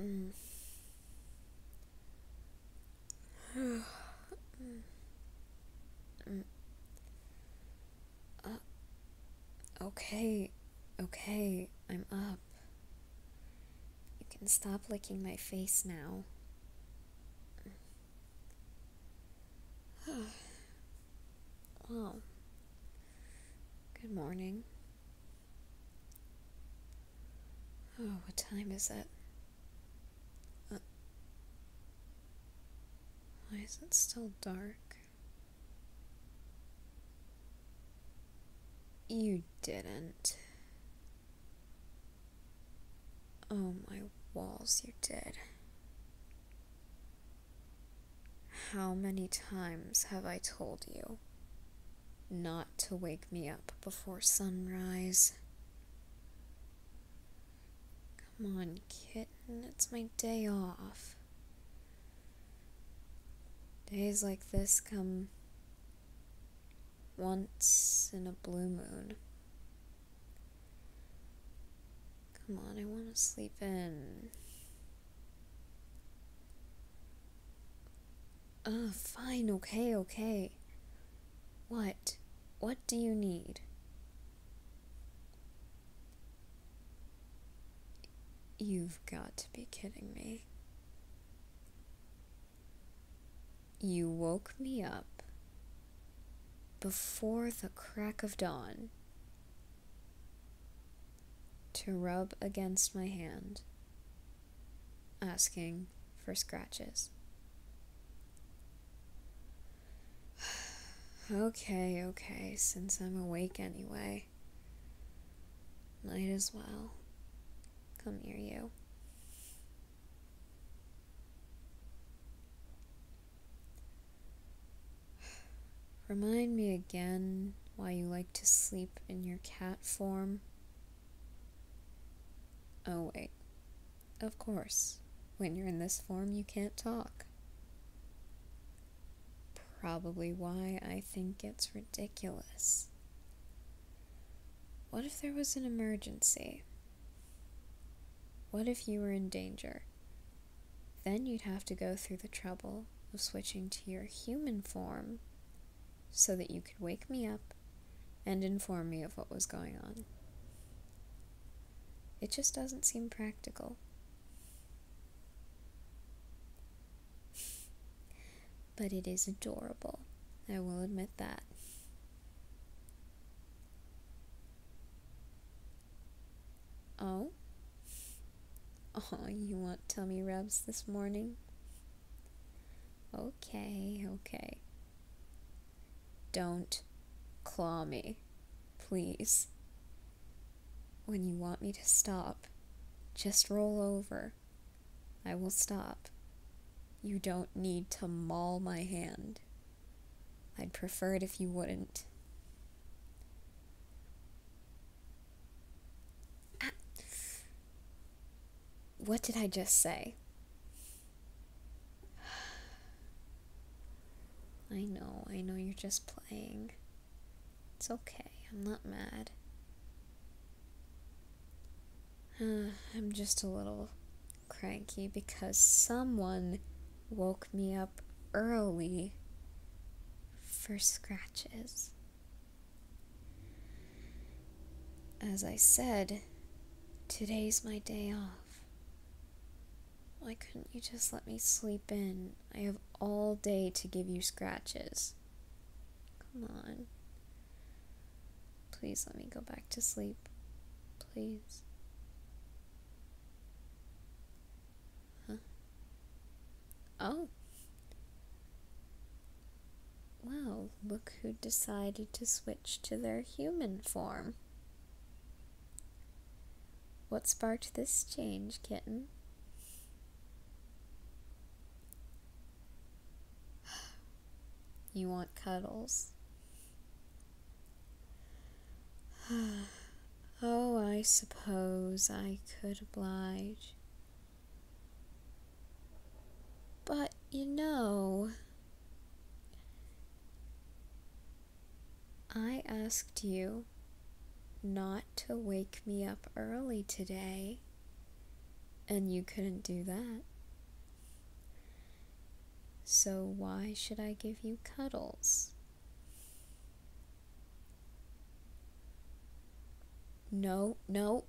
Mm. mm. mm. Mm. Uh, okay, okay, I'm up. You can stop licking my face now. oh. Good morning. Oh, what time is it? Uh, why is it still dark? You didn't. Oh my walls, you did. How many times have I told you? not to wake me up before sunrise. Come on, kitten, it's my day off. Days like this come once in a blue moon. Come on, I want to sleep in. Ah, fine, okay, okay. What? What do you need? You've got to be kidding me. You woke me up before the crack of dawn to rub against my hand, asking for scratches. okay, okay, since I'm awake anyway, might as well come near you. Remind me again why you like to sleep in your cat form. Oh, wait. Of course. When you're in this form, you can't talk. Probably why I think it's ridiculous. What if there was an emergency? What if you were in danger? Then you'd have to go through the trouble of switching to your human form so that you could wake me up and inform me of what was going on. It just doesn't seem practical. but it is adorable, I will admit that. Oh? Oh, you want tummy rubs this morning? Okay, okay. Don't claw me, please. When you want me to stop, just roll over. I will stop. You don't need to maul my hand. I'd prefer it if you wouldn't. what did I just say? I know, I know you're just playing. It's okay, I'm not mad. I'm just a little cranky because someone woke me up early for scratches. As I said, today's my day off. Why couldn't you just let me sleep in? I have all day to give you scratches. Come on. Please let me go back to sleep. Please. Huh? Oh. Well, look who decided to switch to their human form. What sparked this change, kitten? You want cuddles? oh, I suppose I could oblige. But you know, I asked you not to wake me up early today, and you couldn't do that. So, why should I give you cuddles? No, no.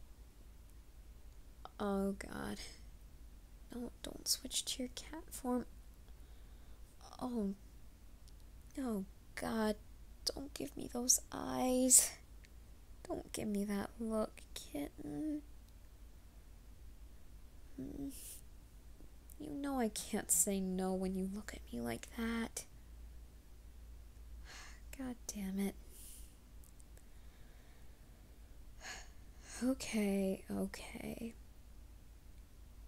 Oh god. No, don't switch to your cat form. Oh. Oh god. Don't give me those eyes. Don't give me that look, kitten. Hmm. You know I can't say no when you look at me like that. God damn it. Okay, okay.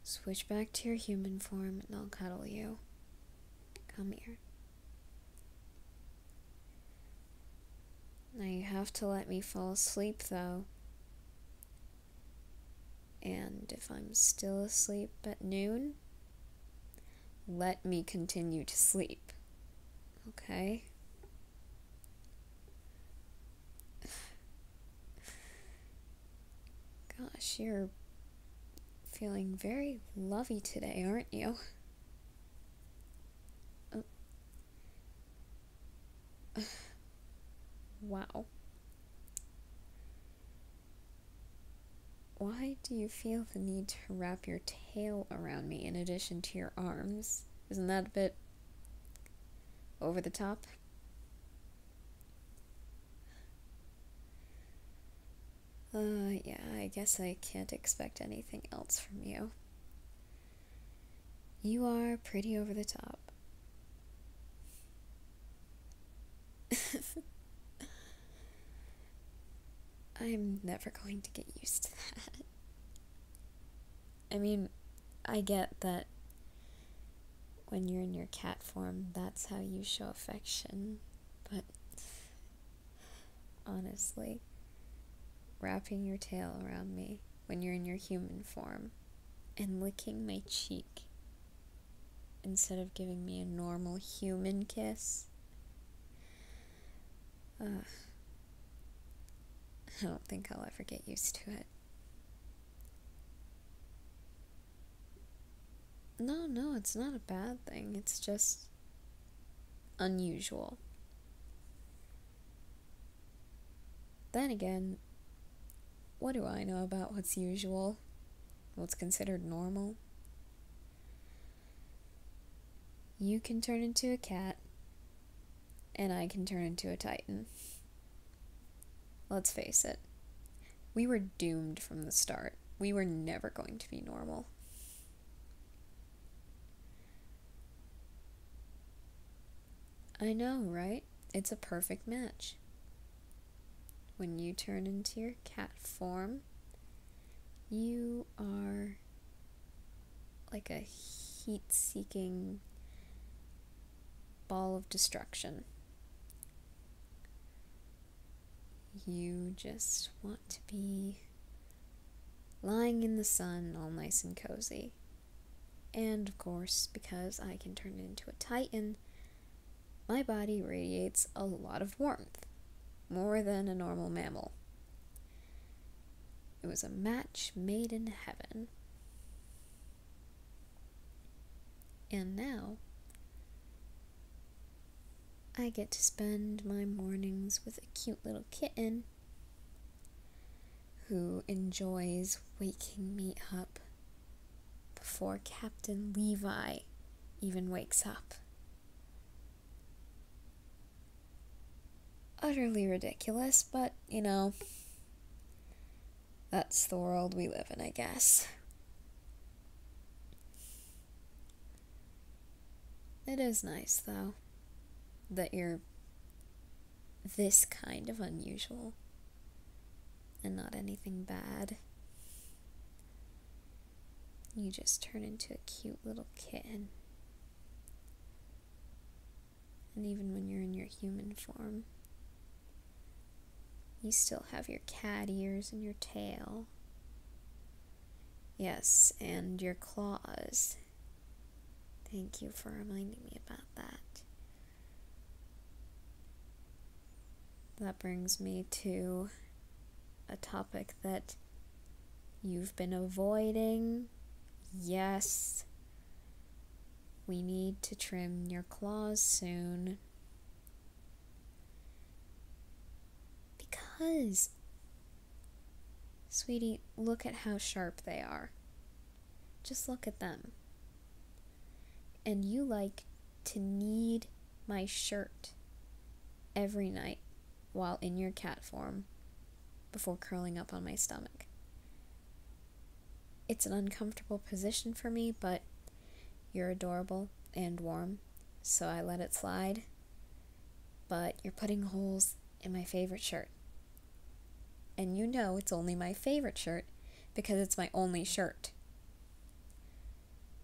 Switch back to your human form and I'll cuddle you. Come here. Now you have to let me fall asleep though. And if I'm still asleep at noon, let me continue to sleep. Okay? Gosh, you're feeling very lovey today, aren't you? wow. Why do you feel the need to wrap your tail around me in addition to your arms? Isn't that a bit over the top? Uh, yeah, I guess I can't expect anything else from you. You are pretty over the top. I'm never going to get used to that. I mean, I get that when you're in your cat form, that's how you show affection, but honestly, wrapping your tail around me when you're in your human form and licking my cheek instead of giving me a normal human kiss. I don't think I'll ever get used to it. No, no, it's not a bad thing. It's just unusual. Then again, what do I know about what's usual? What's considered normal? you. can turn into a cat, and I can turn into a titan. Let's face it, we were doomed from the start. We were never going to be normal. I know, right? It's a perfect match. When you turn into your cat form, you are like a heat seeking ball of destruction. You just want to be lying in the sun, all nice and cozy. And of course, because I can turn into a titan, my body radiates a lot of warmth, more than a normal mammal. It was a match made in heaven. And now, I get to spend my mornings with a cute little kitten who enjoys waking me up before Captain Levi even wakes up. Utterly ridiculous, but you know, that's the world we live in, I guess. It is nice, though, that you're this kind of unusual and not anything bad. You just turn into a cute little kitten. And even when you're in your human form, you still have your cat ears and your tail. Yes, and your claws. Thank you for reminding me about that. That brings me to a topic that you've been avoiding. Yes, we need to trim your claws soon. Because, sweetie, look at how sharp they are. Just look at them. And you like to need my shirt every night while in your cat form before curling up on my stomach. It's an uncomfortable position for me, but you're adorable and warm, so I let it slide. But you're putting holes in my favorite shirt. And you know it's only my favorite shirt because it's my only shirt.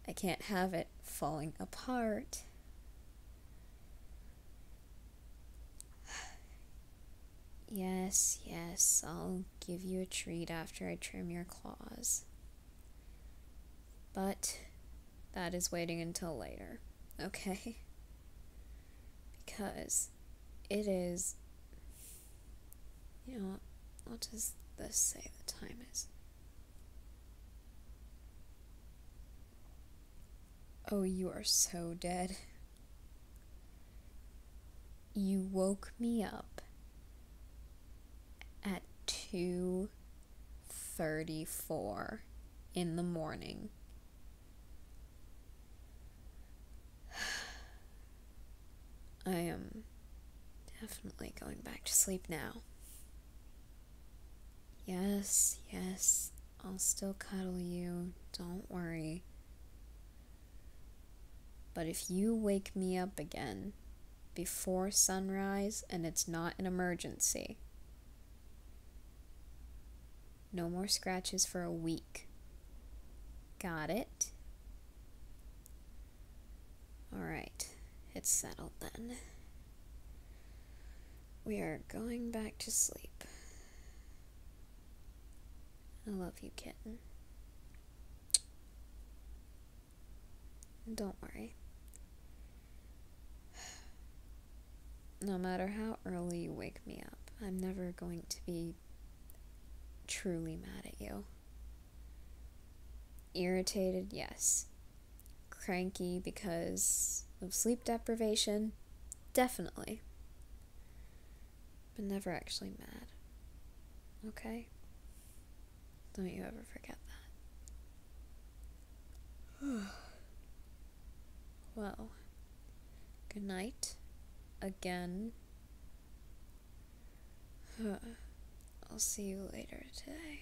I can't have it falling apart. Yes, yes, I'll give you a treat after I trim your claws. But that is waiting until later, okay? Because it is you know what? What does this say the time is? Oh, you are so dead. You woke me up at 2:34 in the morning. I am definitely going back to sleep now. Yes, yes, I'll still cuddle you, don't worry. But if you wake me up again before sunrise and it's not an emergency, no more scratches for a week. Got it? Alright, it's settled then. We are going back to sleep. I love you, kitten. don't worry. No matter how early you wake me up, I'm never going to be truly mad at you. Irritated, yes. Cranky because of sleep deprivation, definitely. But never actually mad. Okay? Don't you ever forget that. well, good night again. Huh. I'll see you later today.